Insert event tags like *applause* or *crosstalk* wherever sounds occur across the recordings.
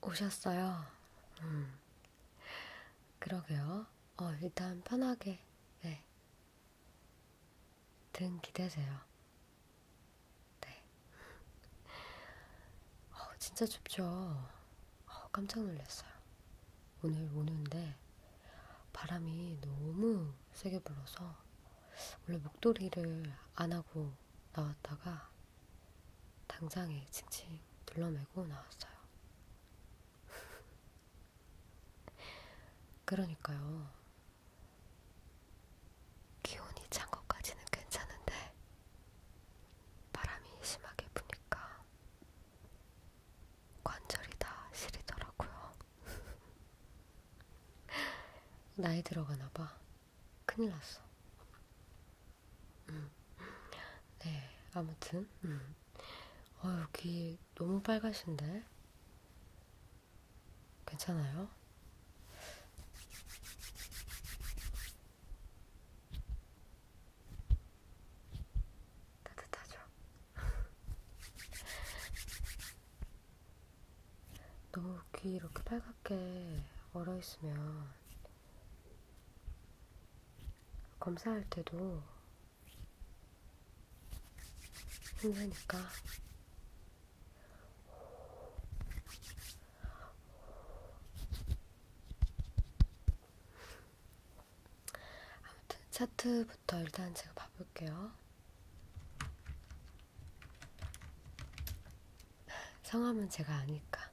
오셨어요? 음. 그러게요. 어, 일단 편하게, 네. 등 기대세요. 네. 어, 진짜 춥죠? 어, 깜짝 놀랐어요. 오늘 오는데 바람이 너무 세게 불어서 원래 목도리를 안 하고 나왔다가 당장에 칭칭 둘러매고 나왔어요. *laughs* 그러니까요. 기온이 찬 것까지는 괜찮은데 바람이 심하게 부니까 관절이 다 시리더라고요. 나이 들어가나봐. 큰일 났어. 음. 네, 아무튼. 음. 어휴, 귀 너무 빨가신데? 괜찮아요? 따뜻하죠? 너귀 이렇게 빨갛게 얼어있으면 검사할 때도 힘드니까 아무튼 차트부터 일단 제가 봐볼게요. 성함은 제가 아니까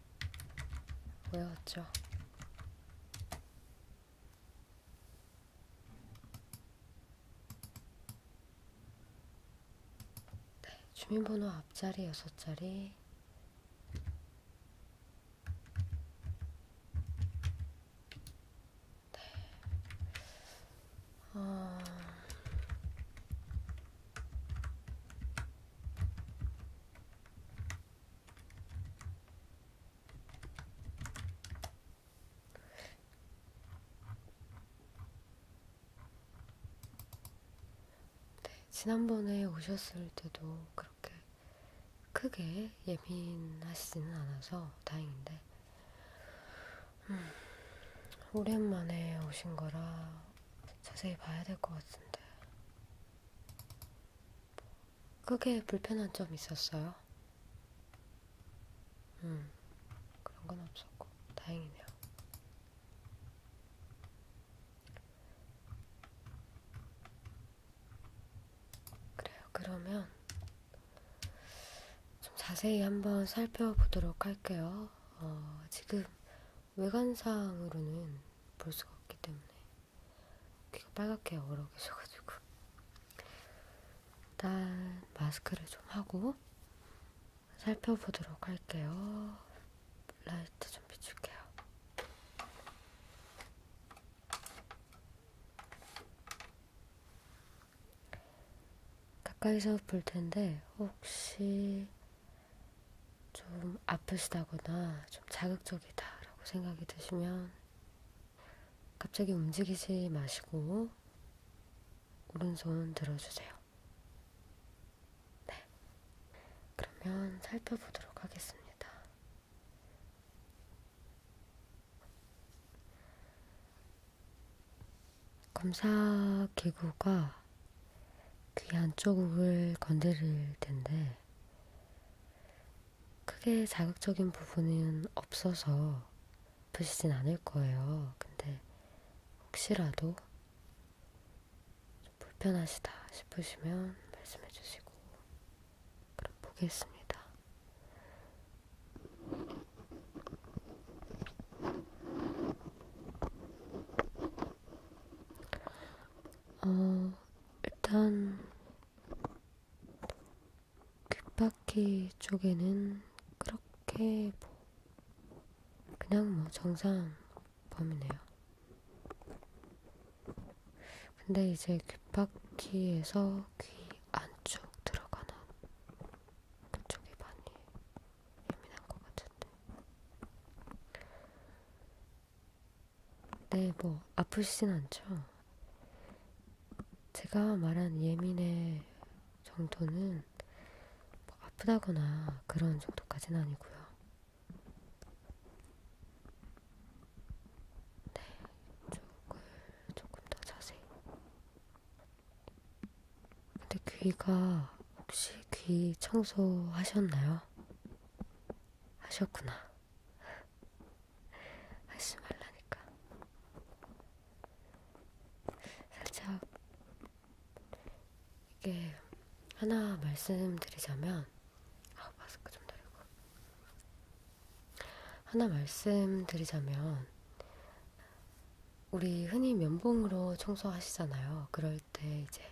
외웠죠. 네, 주민번호 앞자리 여섯 자리. 네. 어... 네, 지난번에 오셨을 때도 그렇게 크게 예민하시지는 않아서 다행인데 음, 오랜만에 오신 거라 자세히 봐야 될 것 같은데. 크게 불편한 점 있었어요? 음, 그런 건 없었고, 다행이네요. 그래요, 그러면 좀 자세히 한번 살펴보도록 할게요. 어, 지금 외관상으로는 볼 수가 없기 때문에 귀가 빨갛게 얼어 계셔가지고 일단 마스크를 좀 하고 살펴보도록 할게요. 라이트 좀 비출게요. 가까이서 볼 텐데 혹시 좀 아프시다거나 좀 자극적이다라고 생각이 드시면 갑자기 움직이지 마시고 오른손 들어주세요. 네. 그러면 살펴보도록 하겠습니다. 검사 기구가 귀 안쪽을 건드릴 텐데 크게 자극적인 부분은 없어서 아프시진 않을 거예요. 근데 혹시라도 불편하시다 싶으시면 말씀해 주시고 그럼 보겠습니다. 어, 일단 귓바퀴 쪽에는 그렇게 뭐 그냥 뭐 정상 범위네요. 근데 이제 귓바퀴에서 귀 안쪽 들어가는 그쪽이 많이 예민한 것 같은데. 네, 뭐 아프시진 않죠? 제가 말한 예민의 정도는 뭐 아프다거나 그런 정도까지는 아니고요. 네, 쪽을 조금 더 자세히 근데 귀가 혹시 귀 청소하셨나요? 하셨구나. 하지 말라니까. 살짝 이게 하나 말씀드리자면 아 마스크 좀 내리고 하나 말씀드리자면 우리 흔히 면봉으로 청소하시잖아요. 그럴 때 이제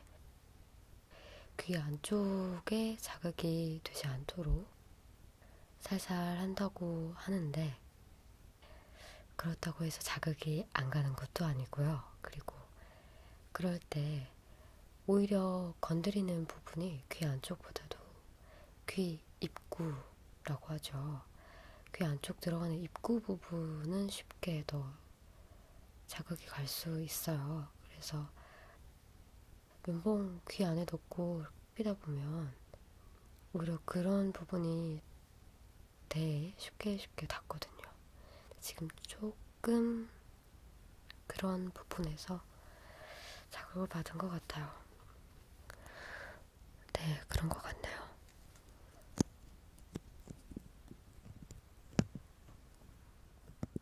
귀 안쪽에 자극이 되지 않도록 살살 한다고 하는데 그렇다고 해서 자극이 안 가는 것도 아니고요. 그리고 그럴 때 오히려 건드리는 부분이 귀 안쪽보다도 귀 입구라고 하죠. 귀 안쪽 들어가는 입구 부분은 쉽게 더 자극이 갈 수 있어요. 그래서 면봉 귀 안에 넣고 피다 보면 오히려 그런 부분이 되게 쉽게 쉽게 닿거든요. 지금 조금 그런 부분에서 자극을 받은 것 같아요. 네, 그런 것 같네요.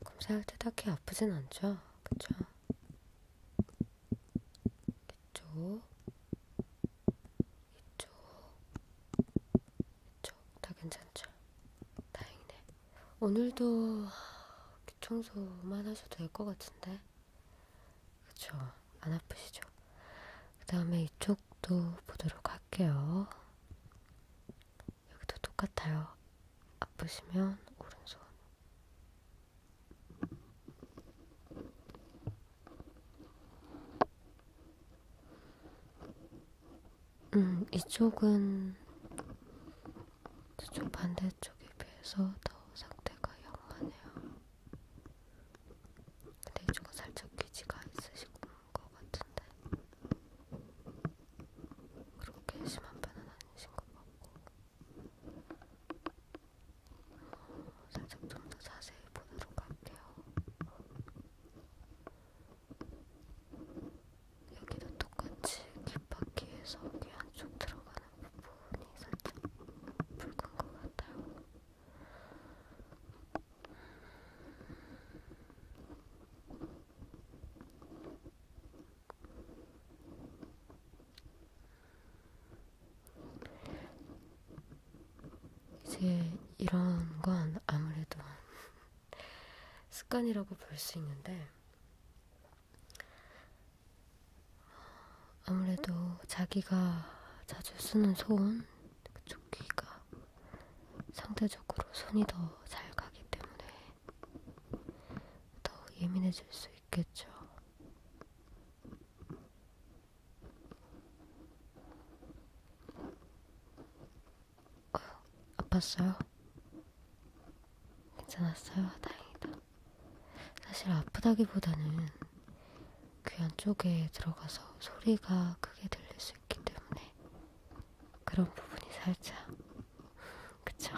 검사할 때 딱히 아프진 않죠? 그쵸? 이쪽, 이쪽, 이쪽 다 괜찮죠? 다행이네. 오늘도 청소만 하셔도 될 것 같은데. 그쵸? 안 아프시죠? 그 다음에 이쪽도 보도록 할게요. 여기도 똑같아요. 아프시면 오른손. 음, 이쪽은 저쪽 반대쪽에 비해서 더 상태가 영하네요. 레이저가 살짝 귀지가 있으신 것 같은데 그렇게 심한 편은 아니신 것 같고 어, 살짝 좀 더 자세히 보도록 할게요. 여기도 똑같이 귓바퀴에서 귀 안쪽 들어가는 하는 부분이 살짝 붉은 것 같아요. 이제 이런 건 아무래도 습관이라고 볼 수 있는데 아무래도 자기가 자주 쓰는 손, 그쪽 귀가 상대적으로 손이 더 잘 가기 때문에 더 예민해질 수 있겠죠. 어, 아팠어요? 괜찮았어요? 다행이다. 사실 아프다기보다는 귀 안쪽에 들어가서 소리가 크게 들릴 수 있기 때문에 그런 부분이 살짝 그쵸?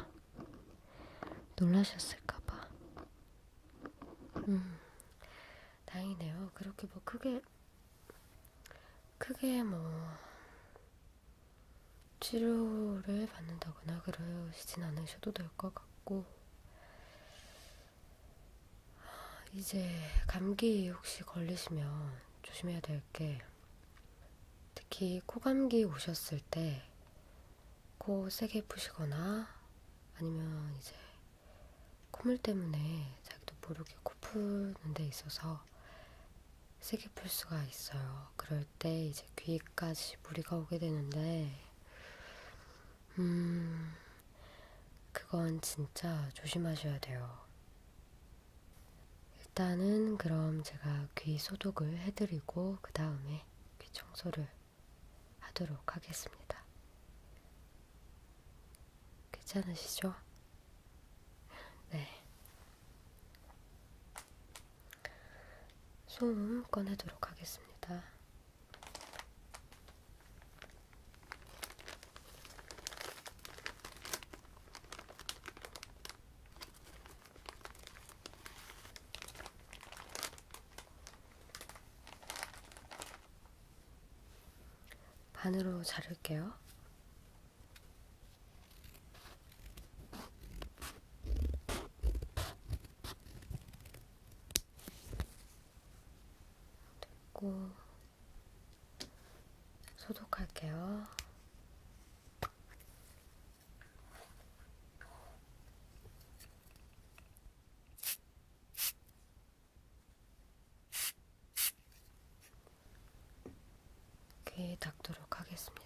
놀라셨을까봐 음 다행이네요 그렇게 뭐 크게 크게 뭐 치료를 받는다거나 그러시진 않으셔도 될 것 같고 이제 감기 혹시 걸리시면 조심해야 될 게 특히 코감기 오셨을 때 코 세게 푸시거나 아니면 이제 콧물 때문에 자기도 모르게 코 푸는 데 있어서 세게 풀 수가 있어요. 그럴 때 이제 귀까지 무리가 오게 되는데 음, 그건 진짜 조심하셔야 돼요. 일단은 그럼 제가 귀 소독을 해드리고 그 다음에 귀 청소를 하도록 하겠습니다. 괜찮으시죠? 네. 소음 꺼내도록 하겠습니다. 반으로 자를게요. 됐고 소독할게요. 귀 닦도록 하겠습니다.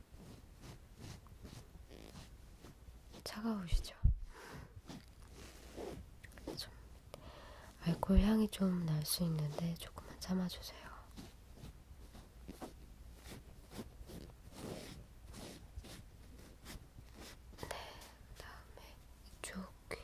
차가우시죠? 좀 알코올 향이 좀 날 수 있는데 조금만 참아주세요. 네, 다음에 이쪽 귀.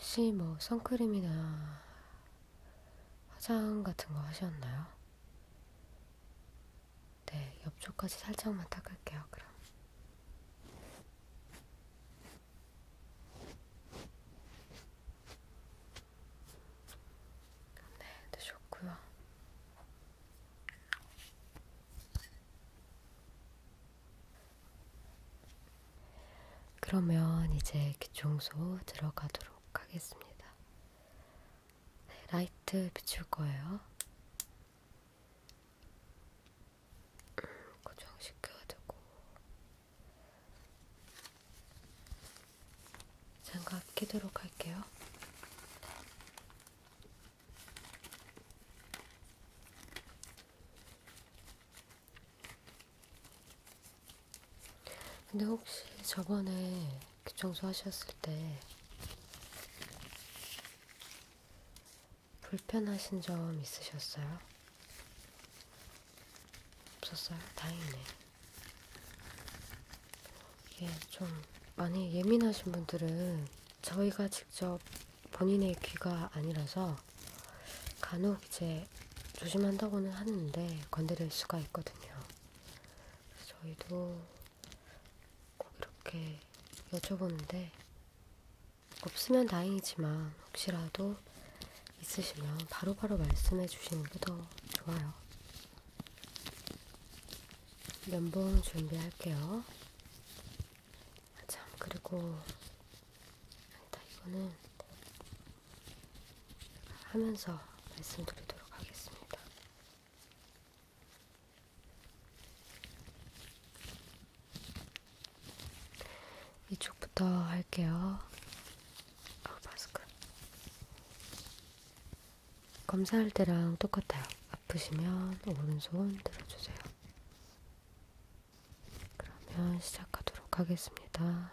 혹시 뭐 선크림이나 화장 같은 거 하셨나요? 네, 옆쪽까지 살짝만 닦을게요, 그럼. 네, 되셨고요. 그러면 이제 귀청소 들어가도록 하겠습니다. 네, 라이트 비출 거예요. 음, 고정시켜야 되고. 장갑 끼도록 할게요. 근데 혹시 저번에 청소하셨을 때 불편하신 점 있으셨어요? 없었어요? 다행이네. 이게 좀 많이 예민하신 분들은 저희가 직접 본인의 귀가 아니라서 간혹 이제 조심한다고는 하는데 건드릴 수가 있거든요. 저희도 꼭 이렇게 여쭤보는데 없으면 다행이지만 혹시라도 있으시면 바로바로 말씀해 주시는 게 더 좋아요. 면봉 준비할게요. 아 참, 그리고 아니다, 이거는 하면서 말씀드리도록 하겠습니다. 이쪽부터 할게요. 아, 마스크. 검사할 때랑 똑같아요. 아프시면 오른손 들어주세요. 그러면 시작하도록 하겠습니다.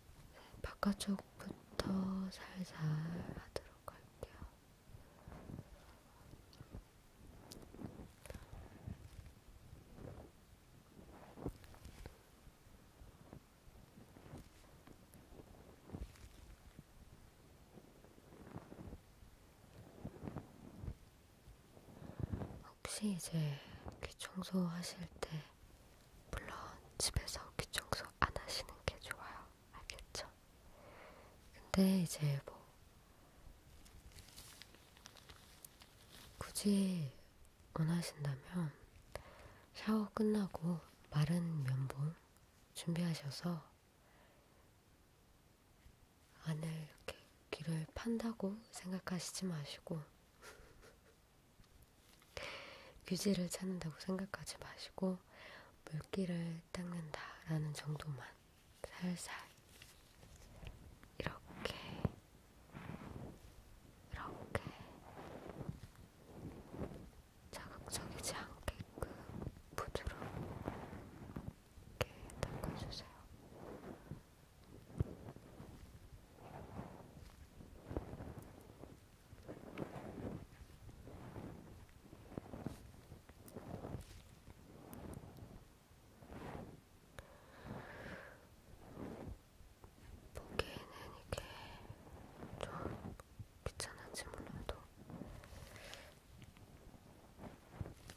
바깥쪽부터 살살 하도록 할게요. 혹시 이제 귀 청소하실 때 물론 집에서 귀청소 안 하시는 게 좋아요. 알겠죠? 근데 이제 뭐 굳이 원하신다면 샤워 끝나고 마른 면봉 준비하셔서 안을 이렇게 귀를 판다고 생각하시지 마시고 규제를 찾는다고 생각하지 마시고 물기를 닦는다라는 정도만 살살 이렇게 이렇게 자극적이지 않게끔 부드럽게 닦아주세요. 보기에는 이게 좀 귀찮은지 몰라도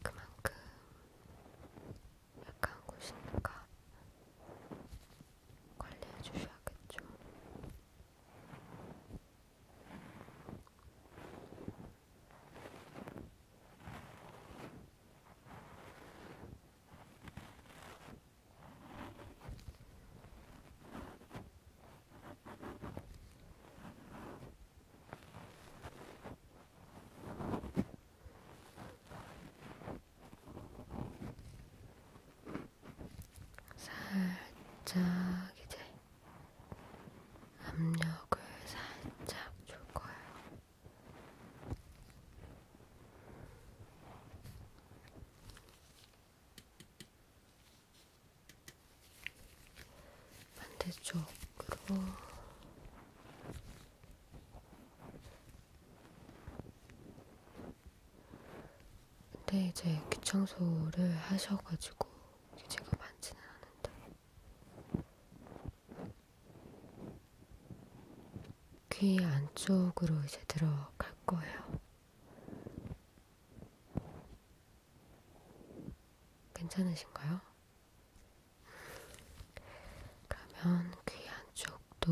그만큼 약간 고신과 관리해 주셔야겠죠. 살짝 이제 압력을 살짝 줄 거예요. 반대쪽으로 근데 이제 귀청소를 하셔가지고 제가 많지는 않은데 귀 안쪽으로 이제 들어갈 거예요. 괜찮으신가요? 그러면 귀 안쪽도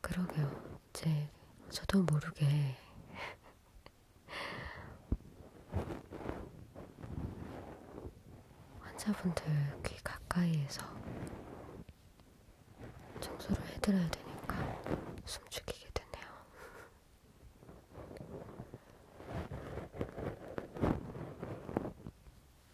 그러게요. 제 저도 모르게 환자분들 귀 가까이에서 청소를 해드려야 되니까 숨죽이게 되네요.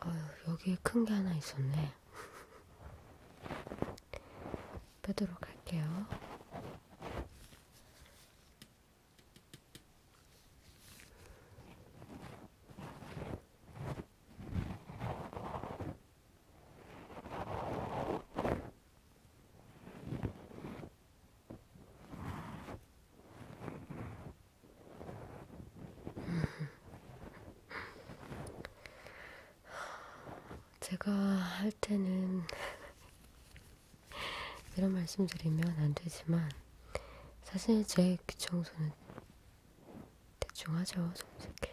어휴, 여기에 큰 게 하나 있었네. 빼도록 할게요. 음. 제가 할 때는 *laughs* 이런 말씀 드리면 안 되지만 사실 제 귀청소는 대충 하죠, 솔직히.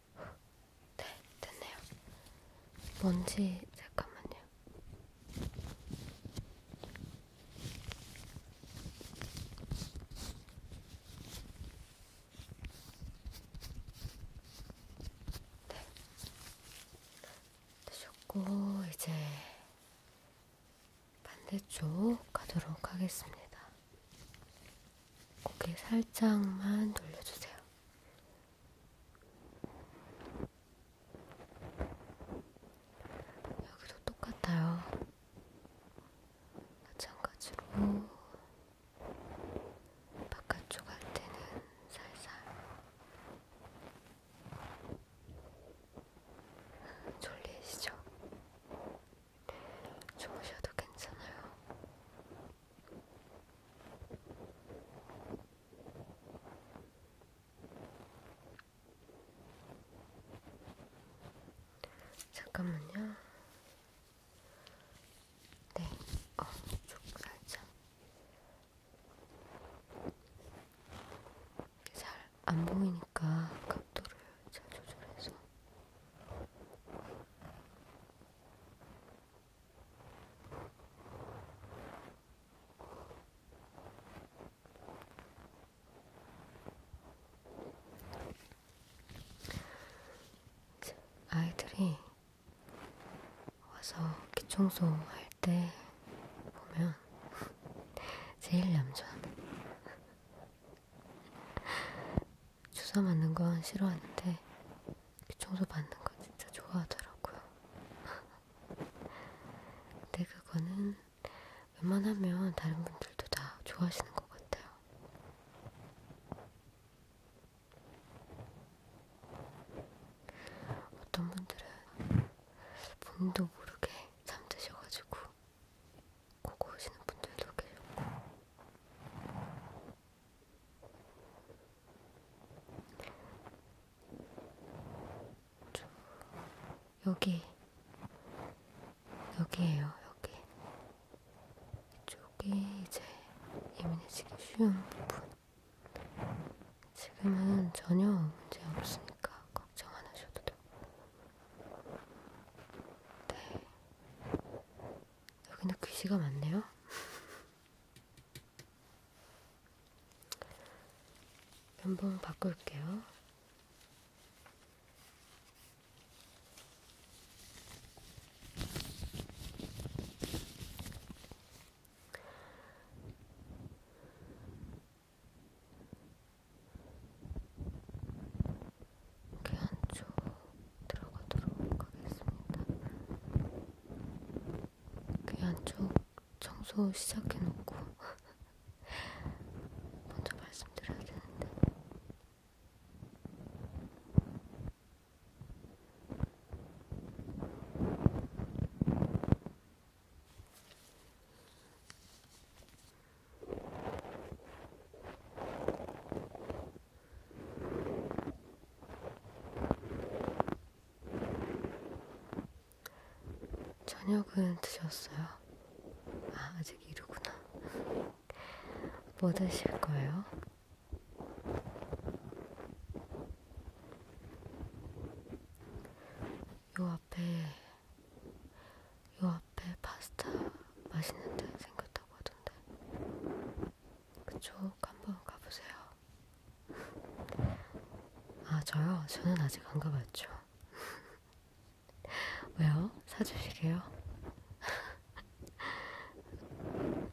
네, 됐네요. 먼지 잠깐만요. 네, 되셨고 이제 반대쪽 가도록 하겠습니다. 고개 살짝만 돌려주세요. 여기도 똑같아요. 마찬가지로 바깥쪽 할 때는 살살 졸리시죠? 주무셔도 괜찮아요. 잠깐만요. 네, 어, 쭉 살짝. 잘 안 보이니까 각도를 잘 조절해서. 아이들이 와서 기청소 할 때 보면 제일 얌전해. 주사 맞는 건 싫어하는데 귀청소 그 받는 건 진짜 좋아하더라고요. *laughs* 근데 그거는 웬만하면 다른 분들도 다 좋아하시는 것 같아요. 어떤 분들은 본도 모르게 잠드셔가지고 보고 오시는 분들도 계셨고 저 여기 여기에요 여기 이쪽이 이제 예민해지기 쉬운 부분 지금은 전혀 문제 없으니까 걱정 안 하셔도 돼요 네 여기는 글씨가 많네요. 연봉 바꿀게요. 귀한주 들어가도록 하겠습니다. 귀한쪽 청소 시작해놓고 *laughs* 먼저 말씀드려야 되는데 저녁은 드셨어요? 아, 아직 이르구나. 뭐 드실 거예요? 요 앞에 요 앞에 파스타 맛있는 데 생겼다고 하던데 그쪽 한번 가보세요 아 저요? 저는 아직 안 가봤죠 *laughs* 왜요? 사주시게요? *laughs*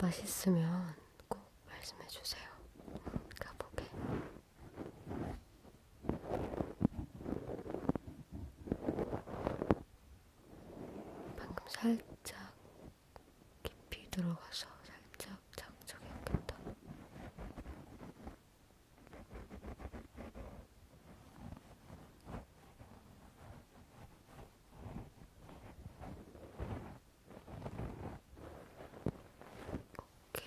맛있으면 꼭 말씀해주세요 가보게 방금 살짝 깊이 들어가서 살짝 장착했겠다. 오케이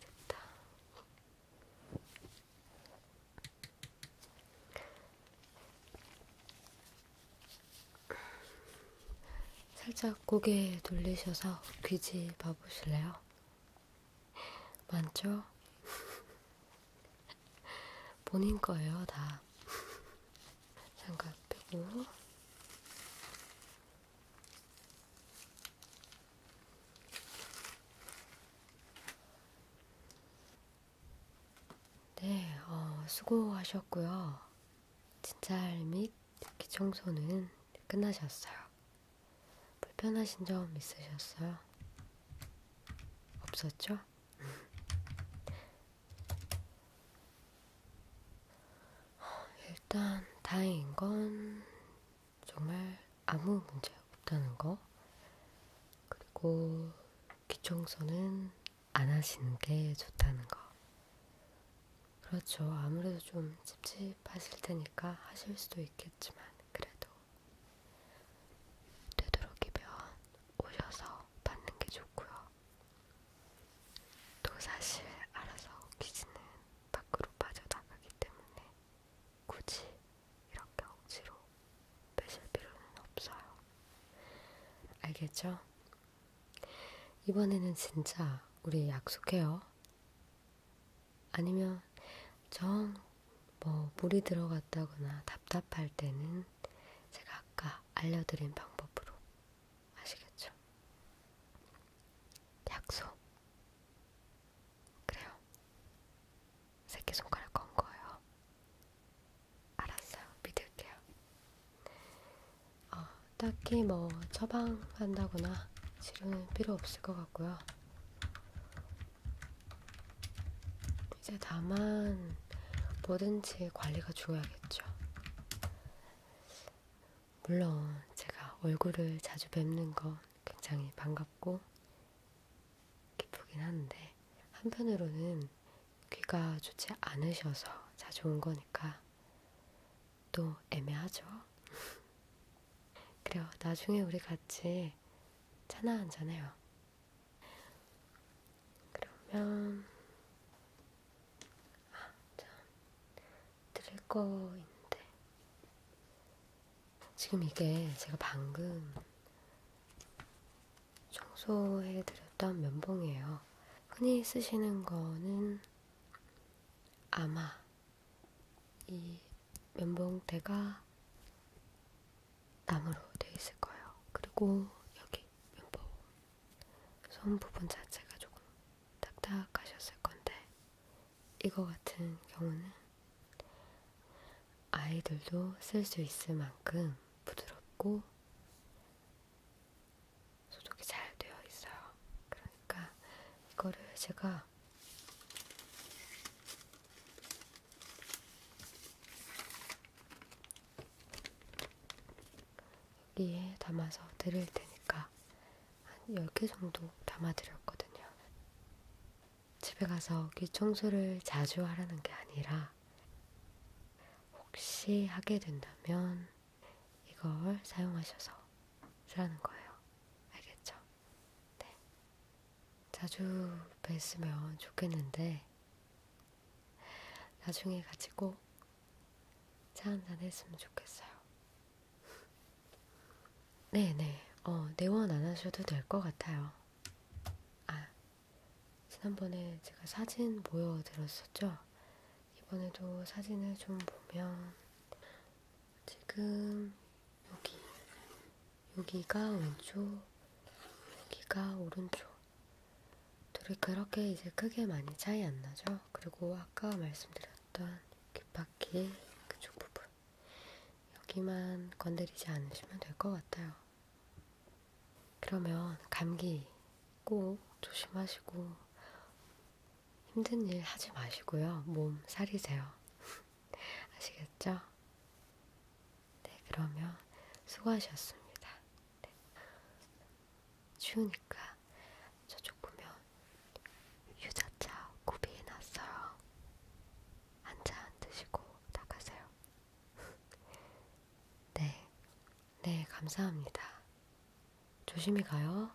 됐다. 살짝 고개 돌리셔서 귀지 봐보실래요? 많죠? 본인 거예요, 다. 장갑 빼고. 네, 어, 수고하셨고요. 진찰 및 기청소는 끝나셨어요. 불편하신 점 있으셨어요? 없었죠? 어, 일단 다행인 건 정말 아무 문제 없다는 거. 그리고 귀청소는 안 하시는 게 좋다는 거. 그렇죠. 아무래도 좀 찝찝하실 테니까 하실 수도 있겠지만, 그래도 되도록이면 오셔서 받는 게 좋고요. 또 사실 알아서 귀신은 밖으로 빠져나가기 때문에 굳이 이렇게 억지로 빼실 필요는 없어요. 알겠죠? 이번에는 진짜 우리 약속해요. 아니면 정뭐 물이 들어갔다거나 답답할 때는 제가 아까 알려드린 방법으로 아시겠죠? 약속. 그래요. 새끼손가락 건 거예요. 알았어요. 믿을게요. 어, 딱히 뭐 처방한다거나 치료는 필요 없을 것 같고요. 이제 다만 뭐든지 관리가 중요하겠죠. 물론 제가 얼굴을 자주 뵙는 건 굉장히 반갑고 기쁘긴 한데 한편으로는 귀가 좋지 않으셔서 자주 온 거니까 또 애매하죠. *laughs* 그래요. 나중에 우리 같이 차나 한잔해요. 그러면 아, 참 드릴 거 있는데 지금 이게 제가 방금 청소해드렸던 면봉이에요. 흔히 쓰시는 거는 아마 이 면봉대가 나무로 되어 있을 거예요. 그리고 여기 면봉 손 부분 자체가 조금 딱딱하셨을 건데 이거 같은 경우는 아이들도 쓸 수 있을 만큼 부드럽고 소독이 잘 되어 있어요. 그러니까 이거를 제가 여기에 담아서 드릴 테니까 한 10개 정도 담아 드렸거든요. 집에 가서 귀 청소를 자주 하라는 게 아니라 혹시 하게 된다면 이걸 사용하셔서 쓰라는 거예요. 알겠죠? 네. 자주 뵀으면 좋겠는데 나중에 같이 꼭차 한잔 했으면 좋겠어요. 네네, 어, 내원 안 하셔도 될 것 같아요. 아, 지난번에 제가 사진 보여드렸었죠? 이번에도 사진을 좀 보면, 지금 여기, 여기가 왼쪽, 여기가 오른쪽. 둘이 그렇게 이제 크게 많이 차이 안 나죠? 그리고 아까 말씀드렸던 귓바퀴 그쪽 부분. 여기만 건드리지 않으시면 될 것 같아요. 그러면 감기 꼭 조심하시고 힘든 일 하지 마시고요. 몸 사리세요. *laughs* 아시겠죠? 네, 그러면 수고하셨습니다. 네. 추우니까 저쪽 보면 유자차 구비해놨어요. 한잔 드시고 나가세요. *laughs* 네, 네, 감사합니다. 조심히 가요.